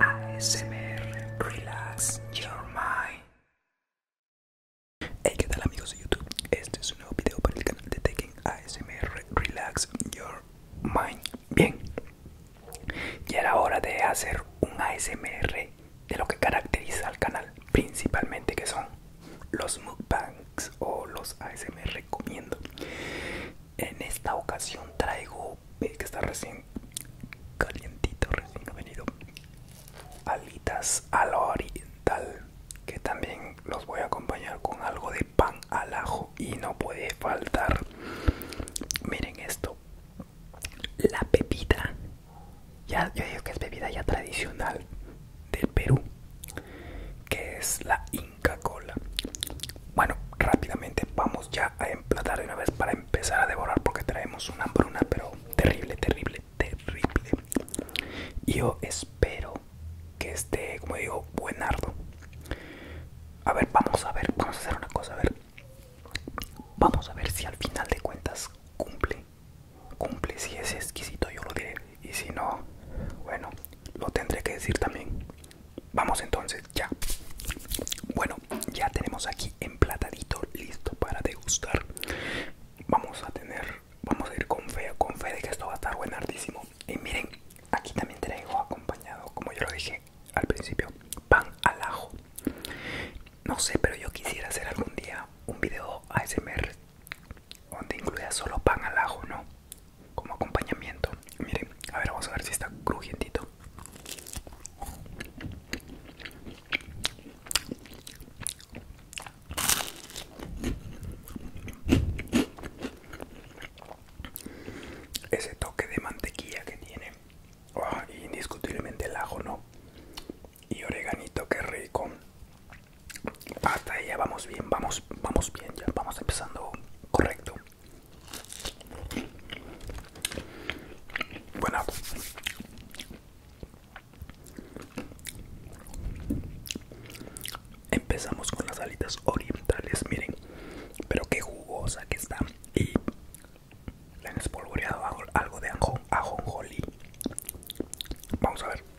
ASMR Relax Your Mind. Hey, ¿qué tal amigos de YouTube? Este es un nuevo video para el canal de TAKING ASMR Relax Your Mind. Bien, ya era hora de hacer un ASMR de lo que caracteriza al canal, principalmente que son los mukbangs o los ASMR comiendo en esta ocasión traigo que está recién calientito recién ha venido alitas a lo oriental que también los voy a acompañar con algo de pan al ajo y no puede faltar miren esto la pepita ya yo digo que es bebida ya tradicional del Perú que es la in Cola. Bueno, rápidamente vamos ya a emplatar de una vez para empezar a devorar porque traemos una hambruna, pero terrible, terrible, terrible. Yo espero que esté, como digo, buenardo. A ver, vamos a ver, vamos a hacer una cosa, a ver. Vamos a ver si al final de cuentas cumple. Cumple, si es exquisito, yo lo diré y si no bueno lo tendré que decir también vamos entonces ya bueno ya tenemos aquí emplatadito listo para degustar vamos a tener vamos a ir con fe con fe de que esto va a estar buenardísimo y miren aquí también traigo acompañado como yo lo dije al principio pan al ajo no sé pero yo quisiera hacer algún día un video ASMR donde incluía solo pan al ajo, ¿no? Como acompañamiento. Miren, a ver, vamos a ver si está crujientito. Ese toque de mantequilla que tiene, ah, indiscutiblemente el ajo, ¿no? Y oreganito, que rico. Hasta ahí ya vamos bien, vamos, vamos bien, ya vamos empezando correcto. Bueno. Empezamos con las alitas orientales, miren, pero qué jugosa que está. Y le han espolvoreado algo de ajonjolí. Vamos a ver.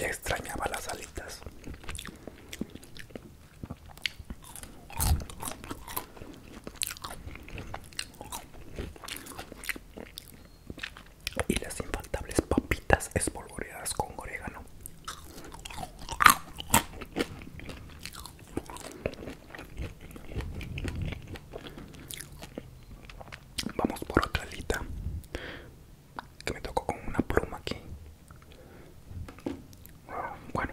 Ya extrañaba las alitas. Y las infaltables papitas espolvoreadas con orégano. Vamos por otra alita que me tocó con una pluma aquí. Bueno.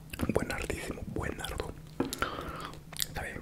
Buen ardísimo, buen arco. Está bien.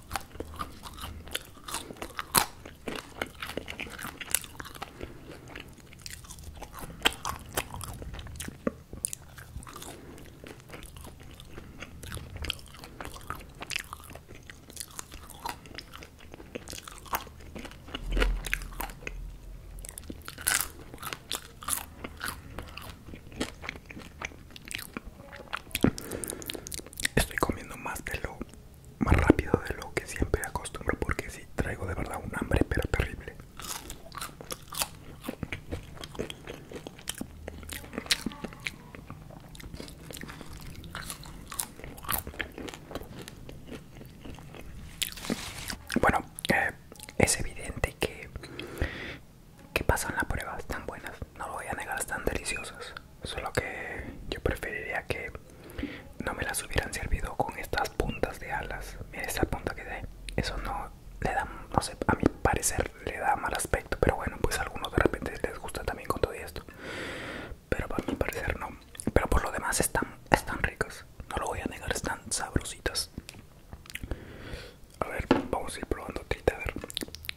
Estoy comiendo más de lo más rápido de lo que siempre acostumbro porque si traigo de verdad un hambre pero terrible bueno eh, es evidente que que pasan las pruebas tan buenas no lo voy a negar, están deliciosas. Solo que yo preferiría que no me las hubieran servido con estas puntas de alas. Mira esta punta que de eso no le da, no sé, a mi parecer le da mal aspecto. Pero bueno, pues algunos de repente les gusta también con todo esto. Pero a mi parecer no. Pero por lo demás están, están ricas. No lo voy a negar, están sabrositas. A ver, vamos a ir probando a ver.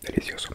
Delicioso.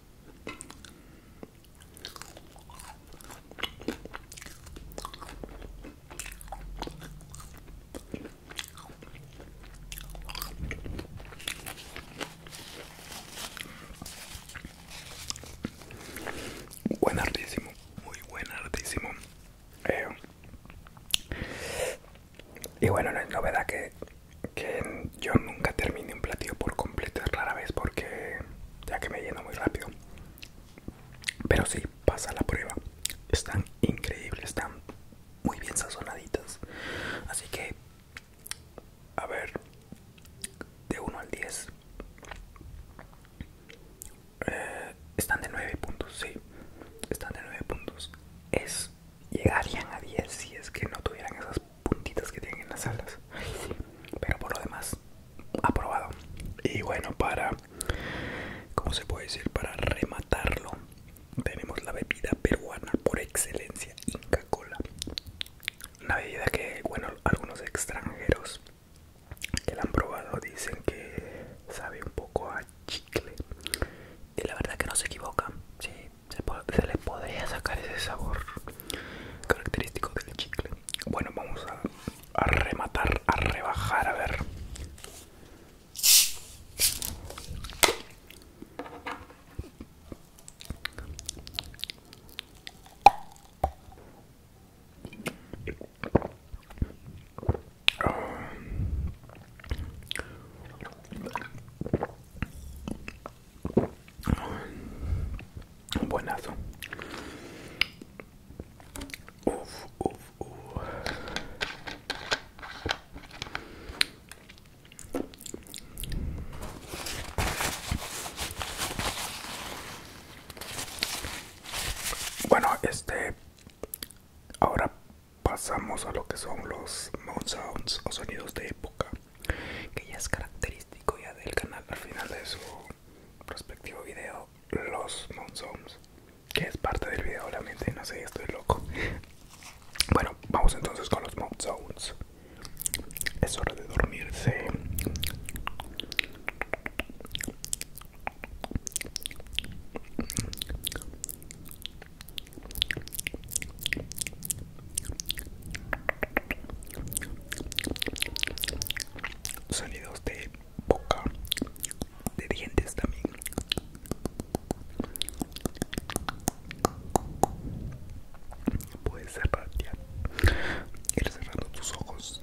Buen artísimo, muy buen artísimo. Eh, y bueno, no es novedad que, que yo nunca termine un platillo por completo, es rara vez porque ya que me lleno muy rápido. Pero sí, pasa la prueba. Están increíbles, están muy bien sazonaditas. Así que, a ver, de 1 al 10. Eh, están de 9 puntos, sí. Están de 9 puntos. Es llegarían a 10 si es que no tuvieran esas puntitas que tienen en las alas. Pero por lo demás, aprobado. Y bueno, para, ¿cómo se puede decir? Para rematarlo, tenemos la bebida peruana por excelencia, Inca Cola. Una bebida que, bueno, algunos extranjeros que la han probado dicen que sabe un poco a chicle. Y la verdad que no se equivoca se, le podría sacar ese sabor característico del chicle. Bueno, vamos a, a rematar, a rebajar, a ver buenazo. Bueno, este ahora pasamos a lo que son los mount sounds o sonidos de época que ya es característico ya del canal al final de su Prospectivo video los Zones que es parte del video obviamente no sé estoy loco bueno vamos entonces con los Zones es hora de dormirse Sonidos de boca, de dientes también. Puedes cerrar Ir cerrando tus ojos.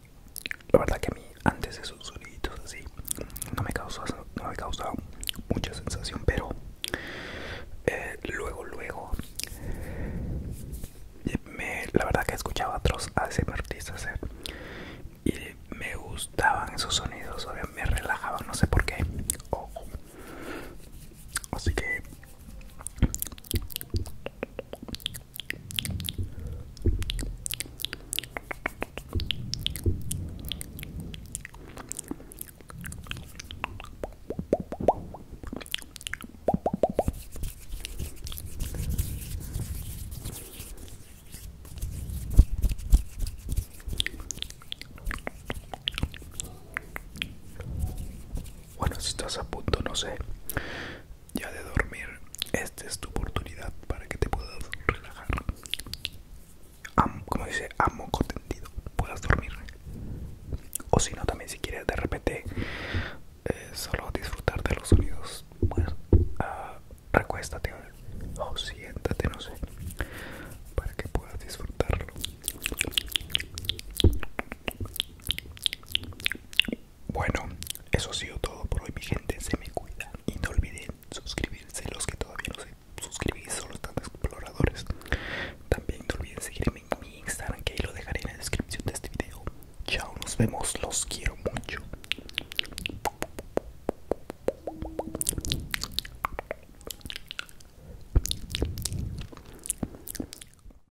la verdad que a mí antes esos soniditos así no me causó mucha sensación pero eh, luego luego eh, me, la verdad que escuchaba otros ACM artistas eh, y me gustaban esos sonidos me relajaban no sé por qué así que bueno, si estás a punto, no sé ya de dormir, esta es tu oportunidad para que te puedas relajar. Am, como dice, Amo contentido puedas dormir. O si no, también si quieres de repente eh, solo disfrutar de los sonidos, Bueno, ah, recuéstate o siéntate, no sé, para que puedas disfrutarlo. Bueno, eso ha sido todo por hoy, mi gente. Se me cuida y no olviden suscribirse. Los que todavía no se suscribís, solo están exploradores. También no olviden seguirme en mi Instagram, que ahí lo dejaré en la descripción de este video. Chao, nos vemos. Los quiero mucho.